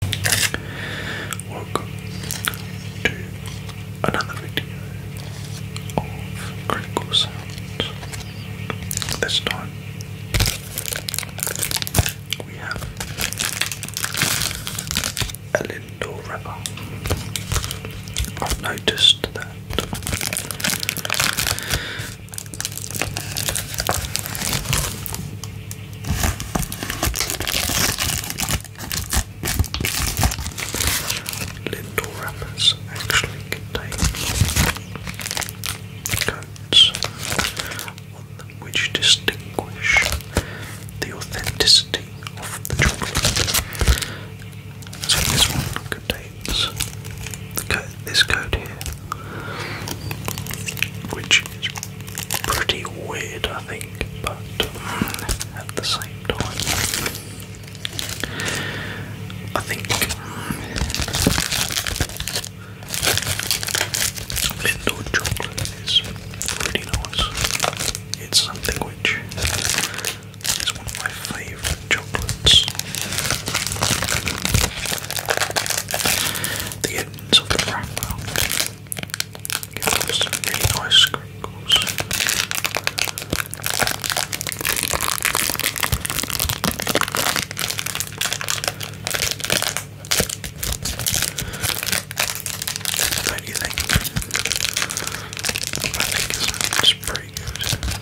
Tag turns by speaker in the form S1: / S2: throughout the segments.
S1: Welcome to another video of Critical Sounds. This time we have a Lindor River. I've noticed that Little wrappers actually contain codes on them which distinguish the authenticity of the chocolate. So this one contains the code this code here, which is pretty weird, I think, but mm, at the same time, I think Lindor chocolate is really nice. It's something which is one of my favourite chocolates the edges of the wrapper. Give them some really nice crinkles. do you think? I think it's pretty good.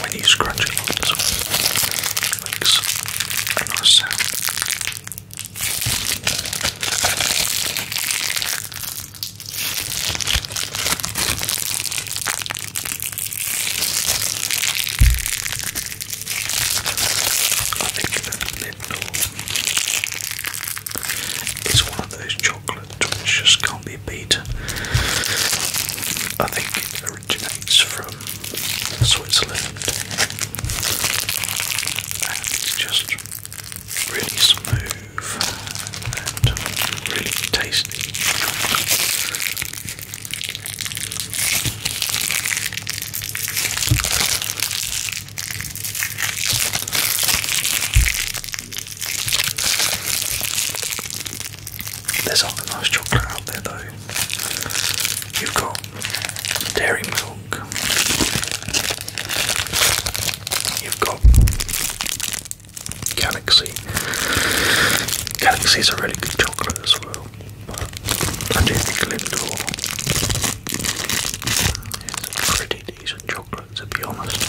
S1: When you scrunch it on this one flakes I think that one of those chocolate which just can't be beaten. I think originates from Switzerland just really smooth and really tasty. There's other nice chocolate out there though. You've got dairy milk. You've got Galaxy. Galaxy's a really good chocolate as well. But I do think Lindor It's a pretty decent chocolate to be honest.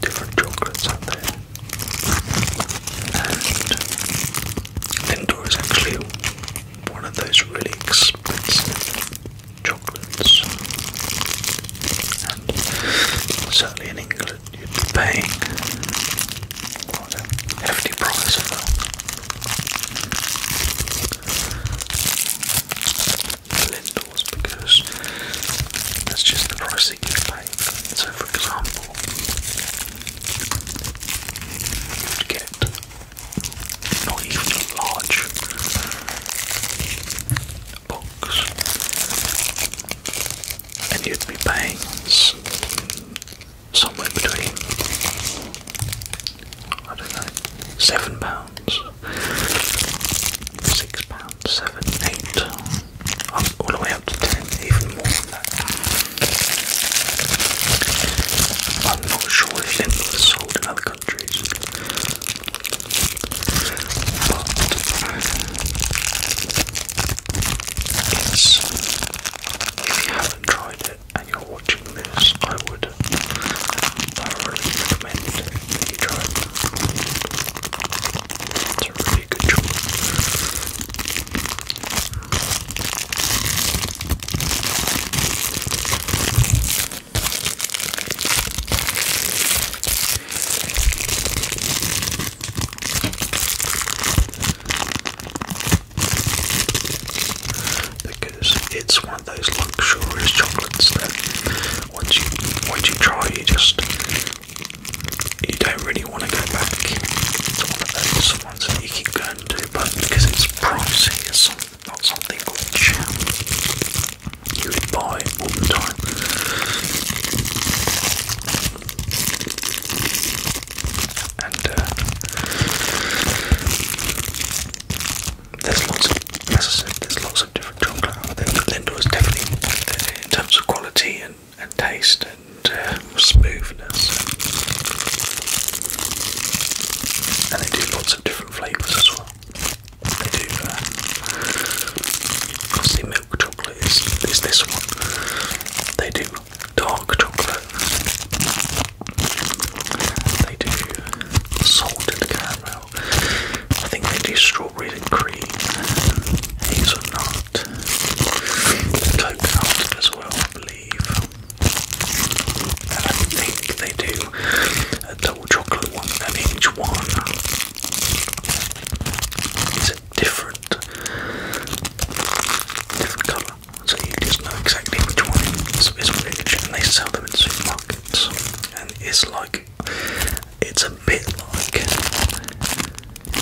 S1: different chocolates out there. And Lindor is actually one of those really expensive chocolates. And certainly in England, you'd be paying quite a hefty price for that. Lindors because that's just the price you you pay. So, for example, you'd get not even a large box, and you'd be paying somewhere between I don't know, seven pounds, six pounds, seven, eight, all the way up to ten, even more than that. I'm not sure if lint was sold in other countries, but it's, if haven't tried it, and you're watching this, I would thoroughly recommend you try it. really good because it's one of those luxurious chocolates that once you once you try, you just you don't really want to go back. It's one of those ones that you keep going to, but because it's pricey, it's not something which you would buy all the time and uh, there's lots of, as I said, there's lots of different chocolate out there. Lindor is definitely in terms of quality and, and taste and uh, smoothness, and they do lots of different flavours as well. They do. Uh, milk chocolate is, is this one. They do dark chocolate. They do salted caramel. I think they do strawberry and cream, hazelnut, coconut as well, I believe. And I think they do a double chocolate one, and each one is a different, different colour so you just know exactly which one is which, and they sell them in supermarkets. And it's like, it's a bit like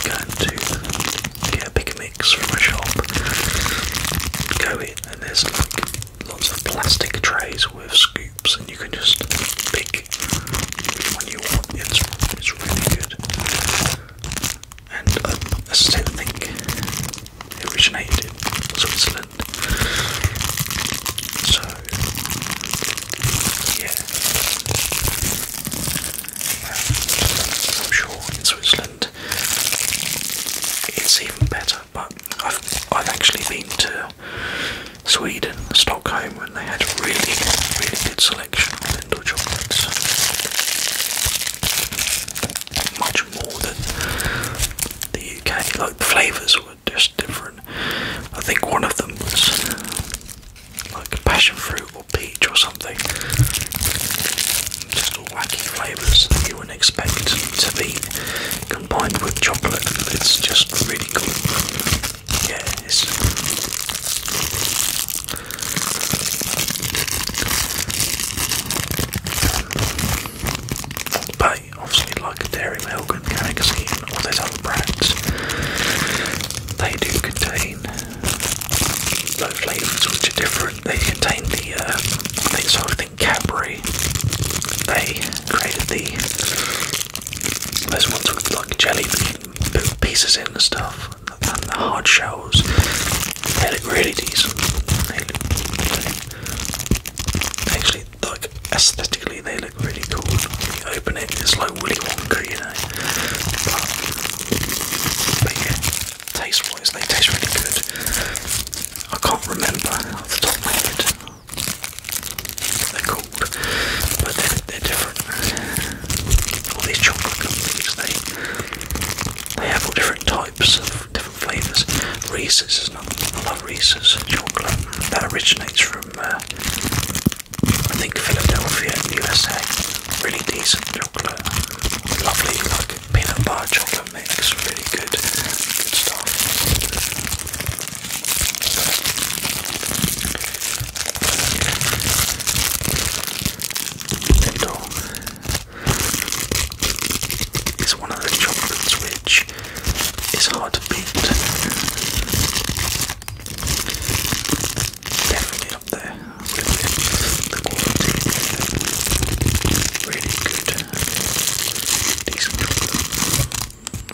S1: going to get a big mix from a shop, go in, and there's like lots of plastic trays with scoops, and you can just pick which one you want. It's, it's really good and um, I still think it originated in Switzerland. So, yeah, um, I'm sure in Switzerland it's even better. But I've I've actually been to Sweden, Stockholm, and they had a really really good selection chocolates. Much more than the UK. Like the flavours were just different. I think one of them was like passion fruit or peach or something. Just wacky flavours you wouldn't expect to be combined with chocolate. It's just really good. Yes. But obviously, like Dairy Milk and Kanagaski and all those other brands, they do contain low flavours which are different. They contain the, um, they, so I think Cadbury, they created the, those ones with like jelly bean put pieces in and stuff, and the hard shells. They look really decent. actually, like aesthetically, they look really cool. When you open it, it's like Willy Wonka, you know. But, yeah, taste-wise, they taste really good. I can't remember off the top of my They're cool but they're, different. All these chocolate companies, they, they have all different types of different flavours. Reese's is not, I love Reese's chocolate. That originates from, uh, I think, Philadelphia, USA. Really decent chocolate. Lovely, like peanut butter chocolate mix. Really good, good stuff. Potato is one of the chocolates which is hard to beat. Definitely up there with the Really good,